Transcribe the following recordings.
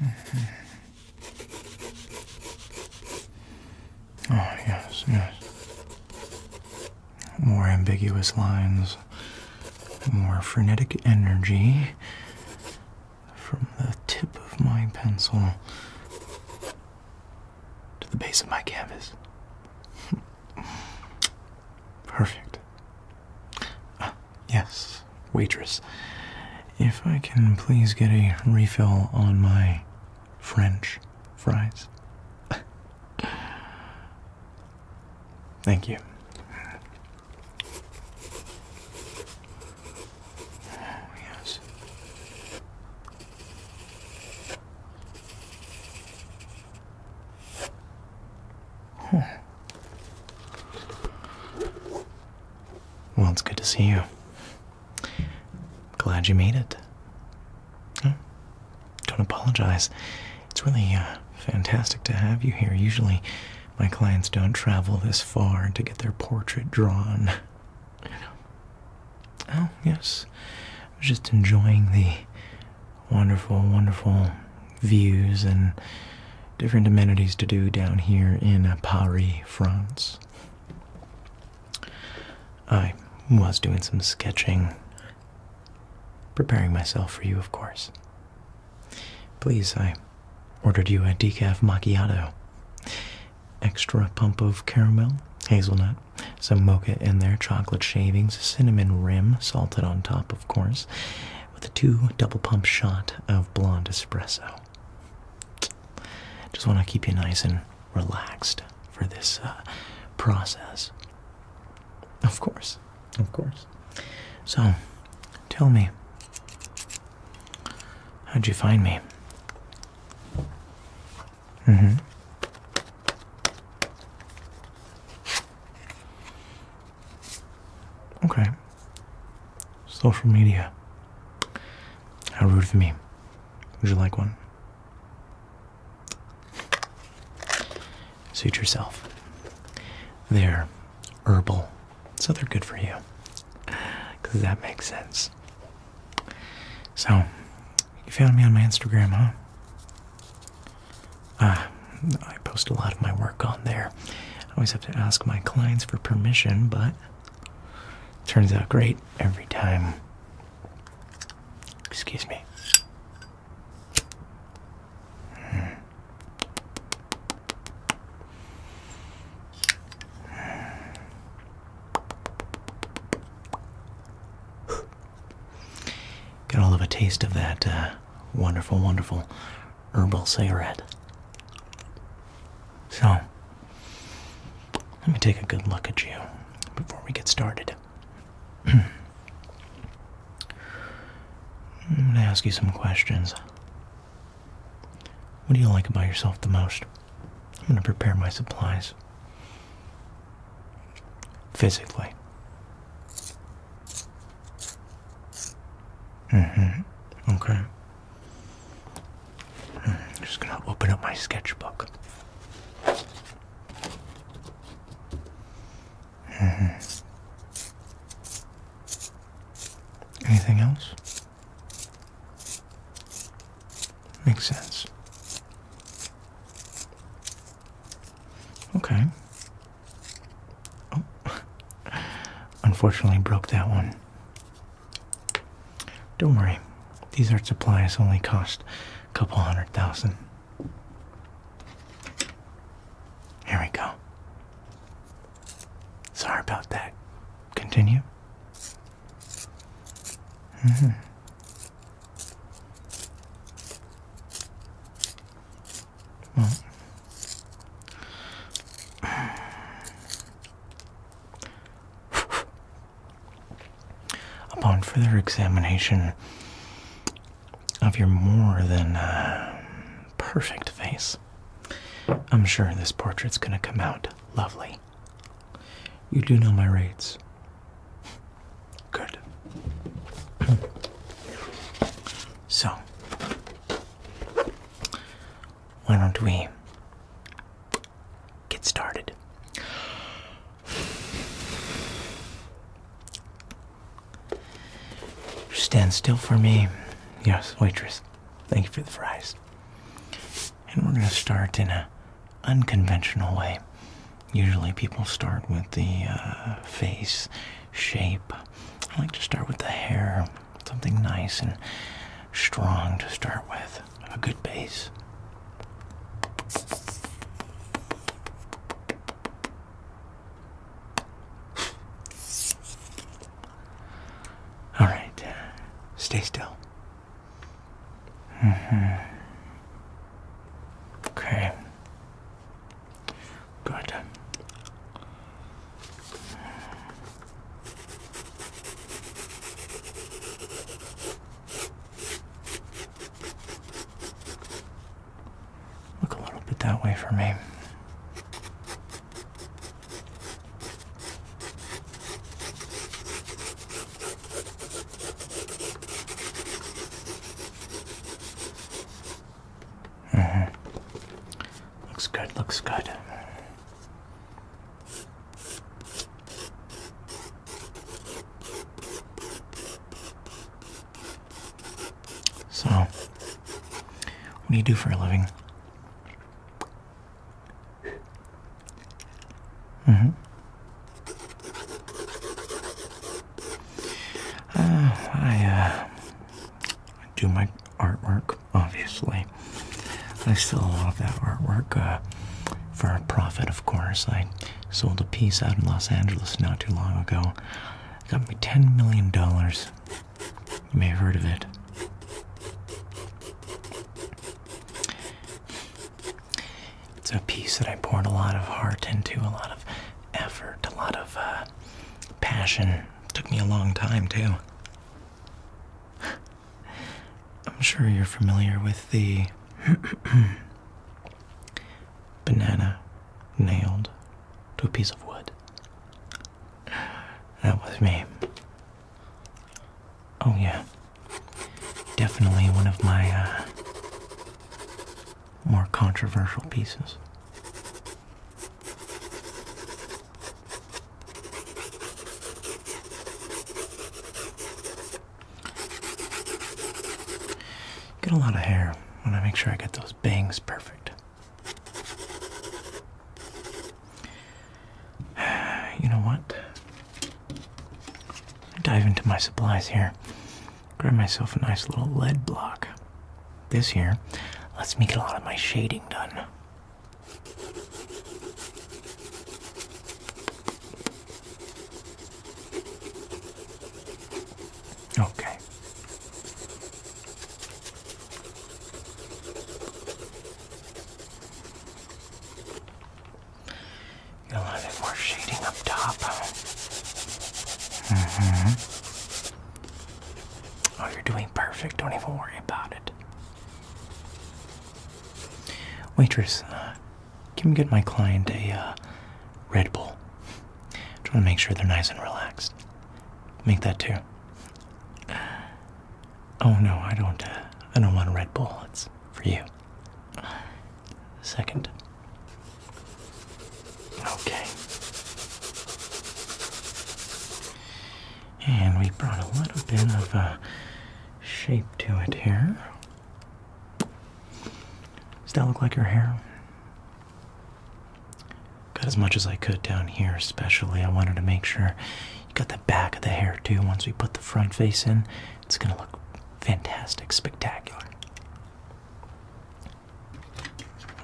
Oh, yes, yes. More ambiguous lines, more frenetic energy from the tip of my pencil to the base of my canvas. Perfect. Ah, yes, waitress. If I can please get a refill on my French fries. Thank you. yes. Hmm. Well, it's good to see you. Glad you made it. Don't apologize. It's really uh, fantastic to have you here. Usually, my clients don't travel this far to get their portrait drawn. Oh, yes. I was just enjoying the wonderful, wonderful views and different amenities to do down here in Paris, France. I was doing some sketching, preparing myself for you, of course. Please, I ordered you a decaf macchiato. Extra pump of caramel, hazelnut, some mocha in there, chocolate shavings, cinnamon rim, salted on top, of course, with a two double pump shot of blonde espresso. Just want to keep you nice and relaxed for this uh, process. Of course, of course. So, tell me, how'd you find me? Mm hmm. Okay. Social media. How rude of me. Would you like one? Suit yourself. They're herbal, so they're good for you. Because that makes sense. So, you found me on my Instagram, huh? Ah, I post a lot of my work on there. I always have to ask my clients for permission, but turns out great every time. Excuse me. Hmm. Got all of a taste of that uh, wonderful, wonderful herbal cigarette. So, let me take a good look at you before we get started. I'm going to ask you some questions. What do you like about yourself the most? I'm going to prepare my supplies. Physically hmm Okay. I'm mm-hmm. just gonna open up my sketchbook. -hmm. Anything else? Makes sense. Okay. Oh, Unfortunately, broke that one. Don't worry, these art supplies only cost a couple hundred thousand. Here we go. Sorry about that. Continue. Mm -hmm. Upon further examination of your more than uh, perfect face, I'm sure this portrait's gonna come out lovely. You do know my rates. Good. so, why don't we get started? Stand still for me. Yes, waitress. Thank you for the fries. And we're going to start in a unconventional way. Usually people start with the uh, face shape. I like to start with the hair something nice and strong to start with, a good base. All right, stay still. Mm-hmm. Okay. Good. Look a little bit that way for me. Mm -hmm. Looks good, looks good. So, what do you do for a living? Mm -hmm. I uh, do my artwork obviously. I still love that artwork. Uh, for a profit, of course. I sold a piece out in Los Angeles not too long ago. It got me $10 million. You may have heard of it. It's a piece that I poured a lot of heart into, a lot of effort, a lot of uh, passion. It took me a long time, too. I'm sure you're familiar with the banana nailed to a piece of wood. That was me. Oh, yeah. Definitely one of my uh, more controversial pieces. Get a lot of hair. want to make sure I get those bangs perfect. You know what? dive into my supplies here. Grab myself a nice little lead block. This here lets me get a lot of my shading done. Okay. Get a little bit more shading up top. Mm-hmm. Oh, you're doing perfect. Don't even worry about it. Waitress, uh, can you get my client a uh, Red Bull? I'm trying to make sure they're nice and relaxed. Make that too. Oh no, I don't. Uh, I don't want a Red Bull. It's for you. Second. Okay. And we brought a little bit of uh, shape to it here. Does that look like her hair? Got as much as I could down here, especially. I wanted to make sure you got the back of the hair too. Once we put the front face in, it's gonna look fantastic, spectacular.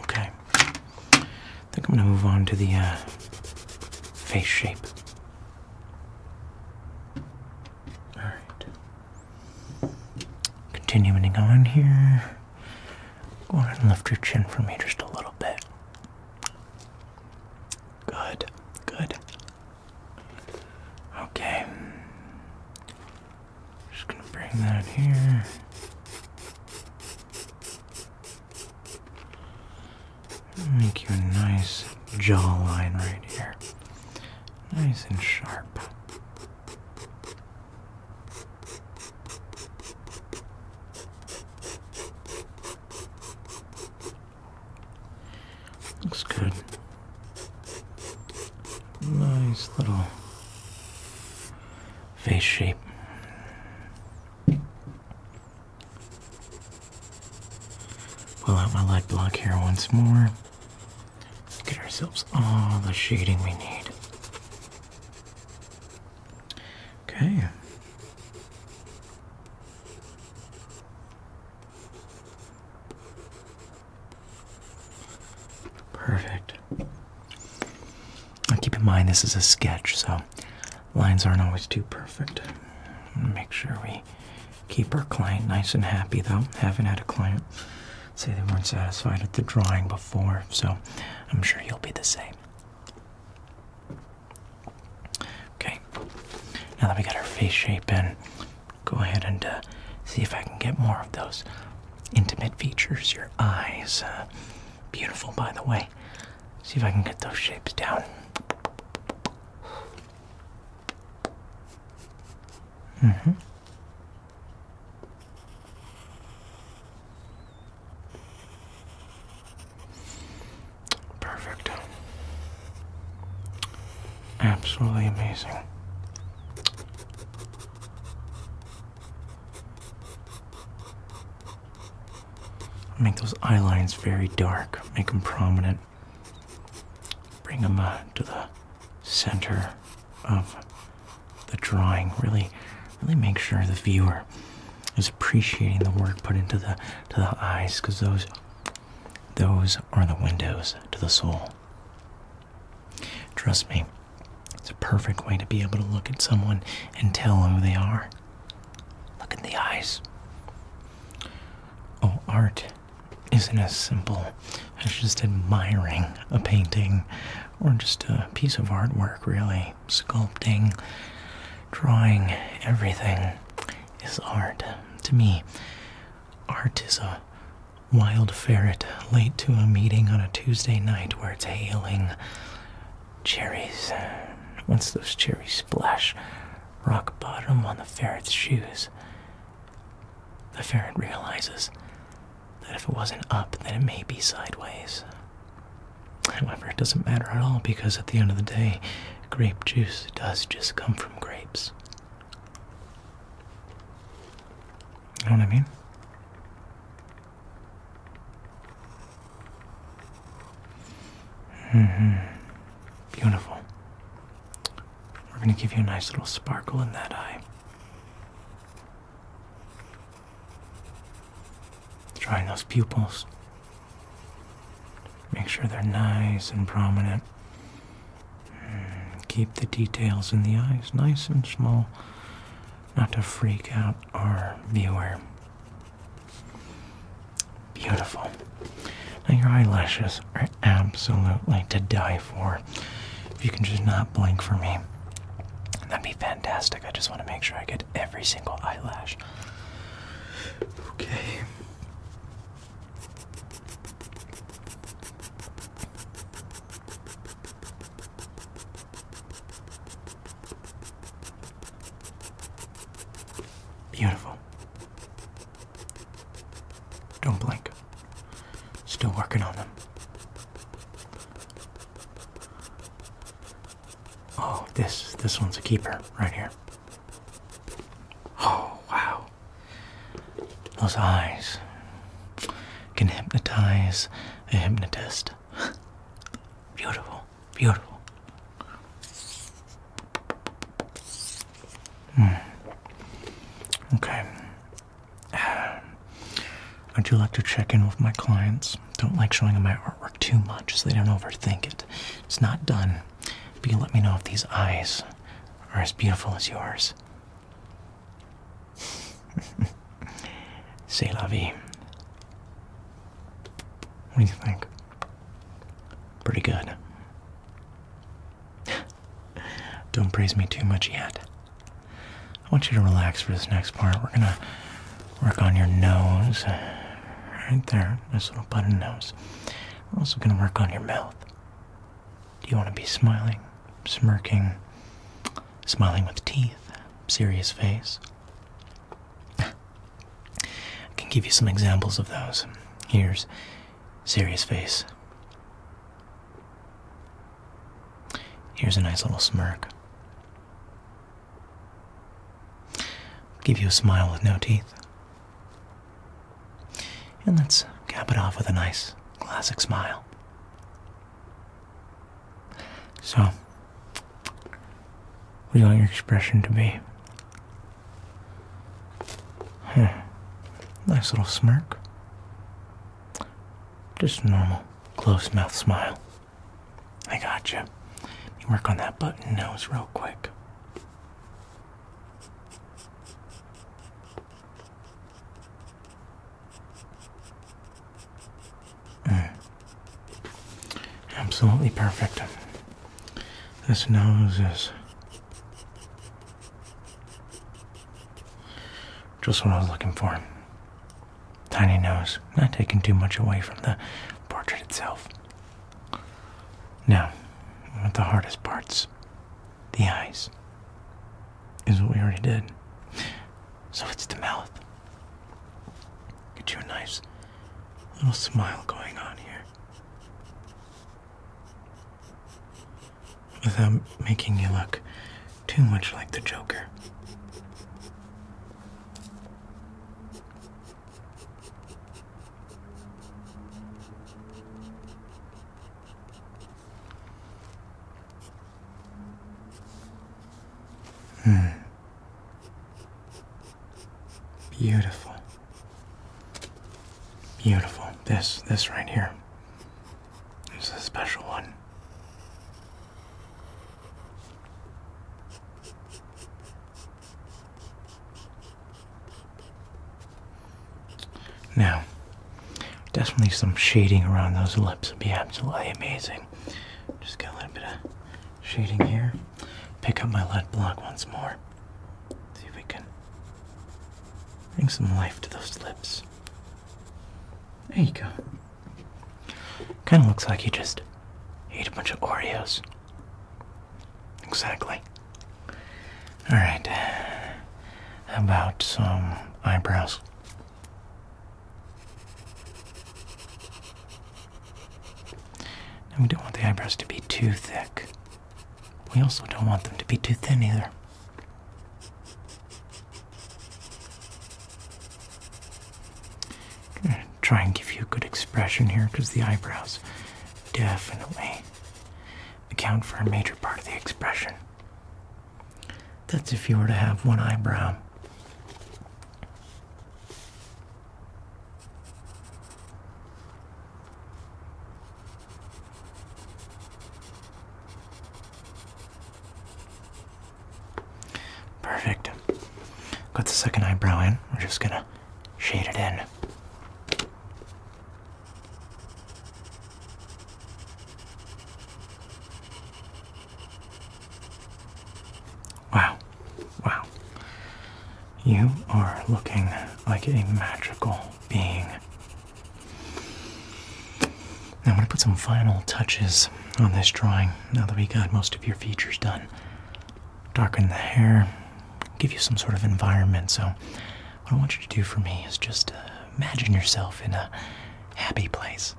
Okay. I think I'm gonna move on to the uh, face shape. All right. Continuing on here. Go ahead and lift your chin for me just a little bit. Good, good. Okay. Just gonna bring that here. Make you a nice jawline right here. Nice and sharp. Looks good. Nice little face shape. Pull out my light block here once more. Get ourselves all the shading we need. Okay. Perfect. Now keep in mind this is a sketch, so lines aren't always too perfect. Make sure we keep our client nice and happy though. Haven't had a client say they weren't satisfied with the drawing before, so I'm sure you'll be the same. Okay, now that we got our face shape in, go ahead and uh, see if I can get more of those intimate features, your eyes. Uh, beautiful, by the way. See if I can get those shapes down. Mm-hmm. Perfect. Absolutely amazing. Make those eye lines very dark, make them prominent. Bring them uh, to the center of the drawing. Really, really make sure the viewer is appreciating the work put into the to the eyes, because those those are the windows to the soul. Trust me, it's a perfect way to be able to look at someone and tell who they are. Look in the eyes. Oh, art isn't as simple as just admiring a painting or just a piece of artwork, really. Sculpting, drawing, everything is art. To me, art is a wild ferret late to a meeting on a Tuesday night where it's hailing. Cherries. Once those cherries splash rock bottom on the ferret's shoes, the ferret realizes that if it wasn't up, then it may be sideways. However, it doesn't matter at all because at the end of the day, grape juice does just come from grapes. You know what I mean? Mm -hmm. Beautiful. We're going to give you a nice little sparkle in that eye. Drawing those pupils. Make sure they're nice and prominent. Mm, keep the details in the eyes nice and small, not to freak out our viewer. Beautiful. Now, your eyelashes are absolutely to die for. If you can just not blink for me, that'd be fantastic. I just want to make sure I get every single eyelash. Okay. Beautiful. Don't blink. Still working on them. Oh, this this one's a keeper right here. Oh, wow. Those eyes can hypnotize a hypnotist. beautiful, beautiful. Mm. Okay. Uh, I do like to check in with my clients. Don't like showing them my artwork too much so they don't overthink it. It's not done, but you let me know if these eyes are as beautiful as yours. Say, la vie. What do you think? Pretty good. Don't praise me too much yet. I want you to relax for this next part. We're gonna work on your nose. Right there, nice little button nose. We're also gonna work on your mouth. Do you wanna be smiling, smirking, smiling with teeth, serious face? I can give you some examples of those. Here's serious face. Here's a nice little smirk. Give you a smile with no teeth. And let's cap it off with a nice classic smile. So, what do you want your expression to be? Hmm. Nice little smirk. Just normal closed mouth smile. I got you. You work on that button nose real quick. Mm. Absolutely perfect. This nose is just what I was looking for. Tiny nose, not taking too much away from the portrait itself. Now, one of the hardest parts, the eyes, is what we already did. So it's the mouth. Get you a nice little smile going on here. Without making you look too much like the Joker. Hmm. Beautiful. Beautiful. This, this right here, is a special one. Now, definitely some shading around those lips would be absolutely amazing. Just get a little bit of shading here. Pick up my lead block once more. See if we can bring some life to those lips. There you go. Kind of looks like you just ate a bunch of Oreos. Exactly. Alright. How about some eyebrows? we don't want the eyebrows to be too thick. We also don't want them to be too thin either. try and give you a good expression here because the eyebrows definitely account for a major part of the expression. That's if you were to have one eyebrow. Perfect. Got the second eyebrow in. We're just gonna shade it in. Wow. Wow. You are looking like a magical being. I'm going to put some final touches on this drawing now that we got most of your features done. Darken the hair, give you some sort of environment. So, what I want you to do for me is just uh, imagine yourself in a happy place,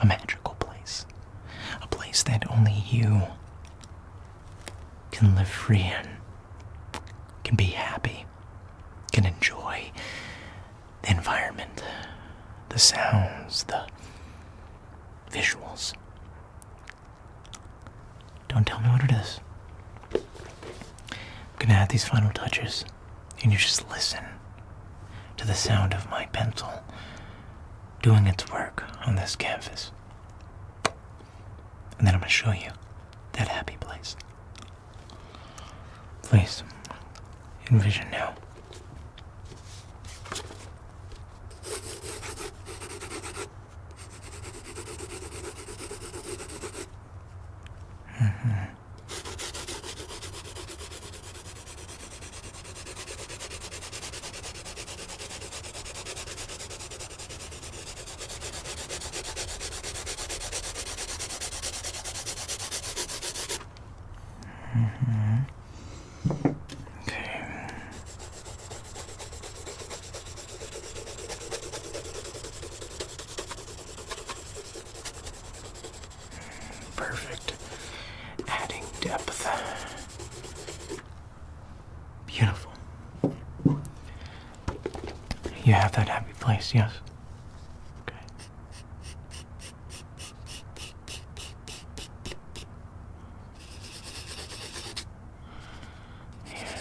a magical place, a place that only you can live free and can be happy, can enjoy the environment, the sounds, the visuals. Don't tell me what it is. I'm gonna add these final touches, and you just listen to the sound of my pencil doing its work on this canvas. And then I'm going to show you that happy place. Please envision now. Mm-hmm. Mm-hmm. Okay. Mm, perfect. Adding depth. Beautiful. You have that happy place, yes? Okay. Yeah.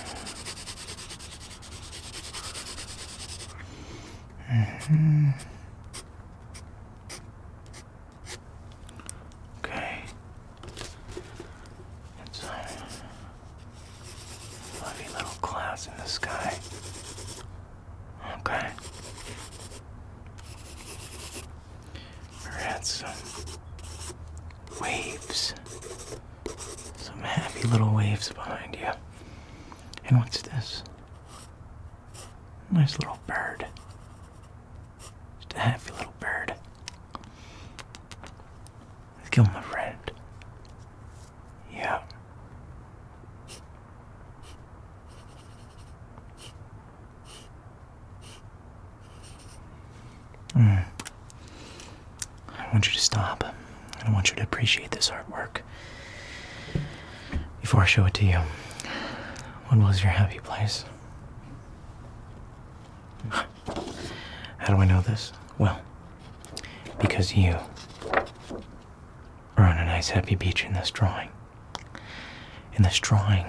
Mm-hmm. Okay. It's, uh, Lovely little clouds in the sky. Okay. we some waves. Some happy little waves behind you. And what's this? Nice little bird. Just a happy little bird. Let's kill my friend. Yeah. Mm. I want you to stop. I want you to appreciate this artwork. Before I show it to you, what was your happy place? How do I know this? Well, because you are on a nice happy beach in this drawing. And this drawing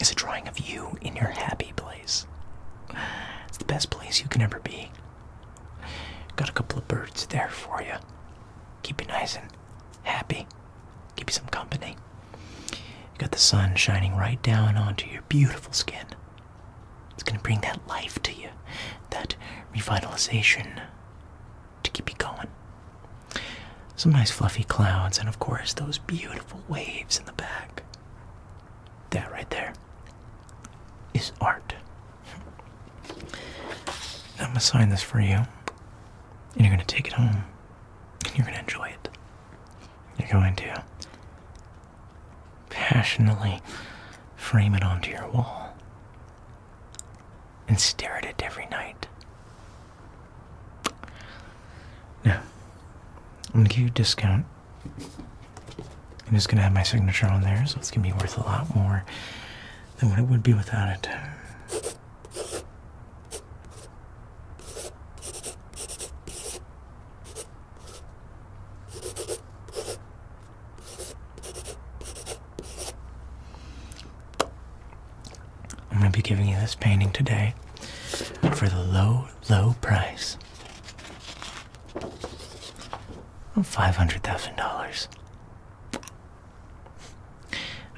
is a drawing of you in your happy place. It's the best place you can ever be. Got a couple of birds there for you. Keep you nice and happy. Keep you some company. got the sun shining right down onto your beautiful skin. It's going to bring that life to you, that revitalization to keep you going. Some nice fluffy clouds, and of course, those beautiful waves in the back. That right there is art. I'm going to sign this for you, and you're going to take it home, and you're going to enjoy it. You're going to passionately frame it onto your wall and stare at it every night. Now, I'm going to give you a discount. I'm just going to have my signature on there, so it's going to be worth a lot more than what it would be without it. I'm going to be giving you this painting today for the low, low price of $500,000.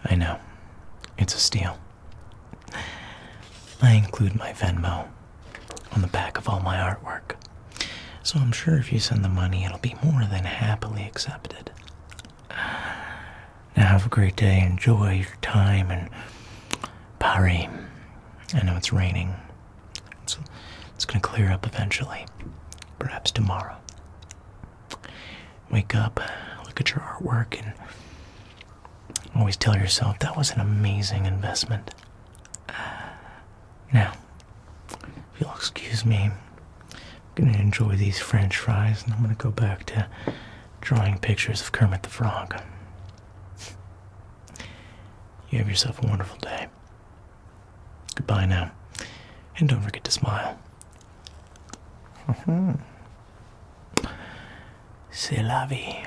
I know, it's a steal. I include my Venmo on the back of all my artwork. So I'm sure if you send the money, it'll be more than happily accepted. Now have a great day. Enjoy your time in Paris. I know it's raining. It's, it's going to clear up eventually. Perhaps tomorrow. Wake up, look at your artwork, and always tell yourself that was an amazing investment. Uh, now, if you'll excuse me, I'm going to enjoy these french fries and I'm going to go back to drawing pictures of Kermit the Frog. You have yourself a wonderful day. Goodbye now, and don't forget to smile. Mm-hmm. C'est la vie.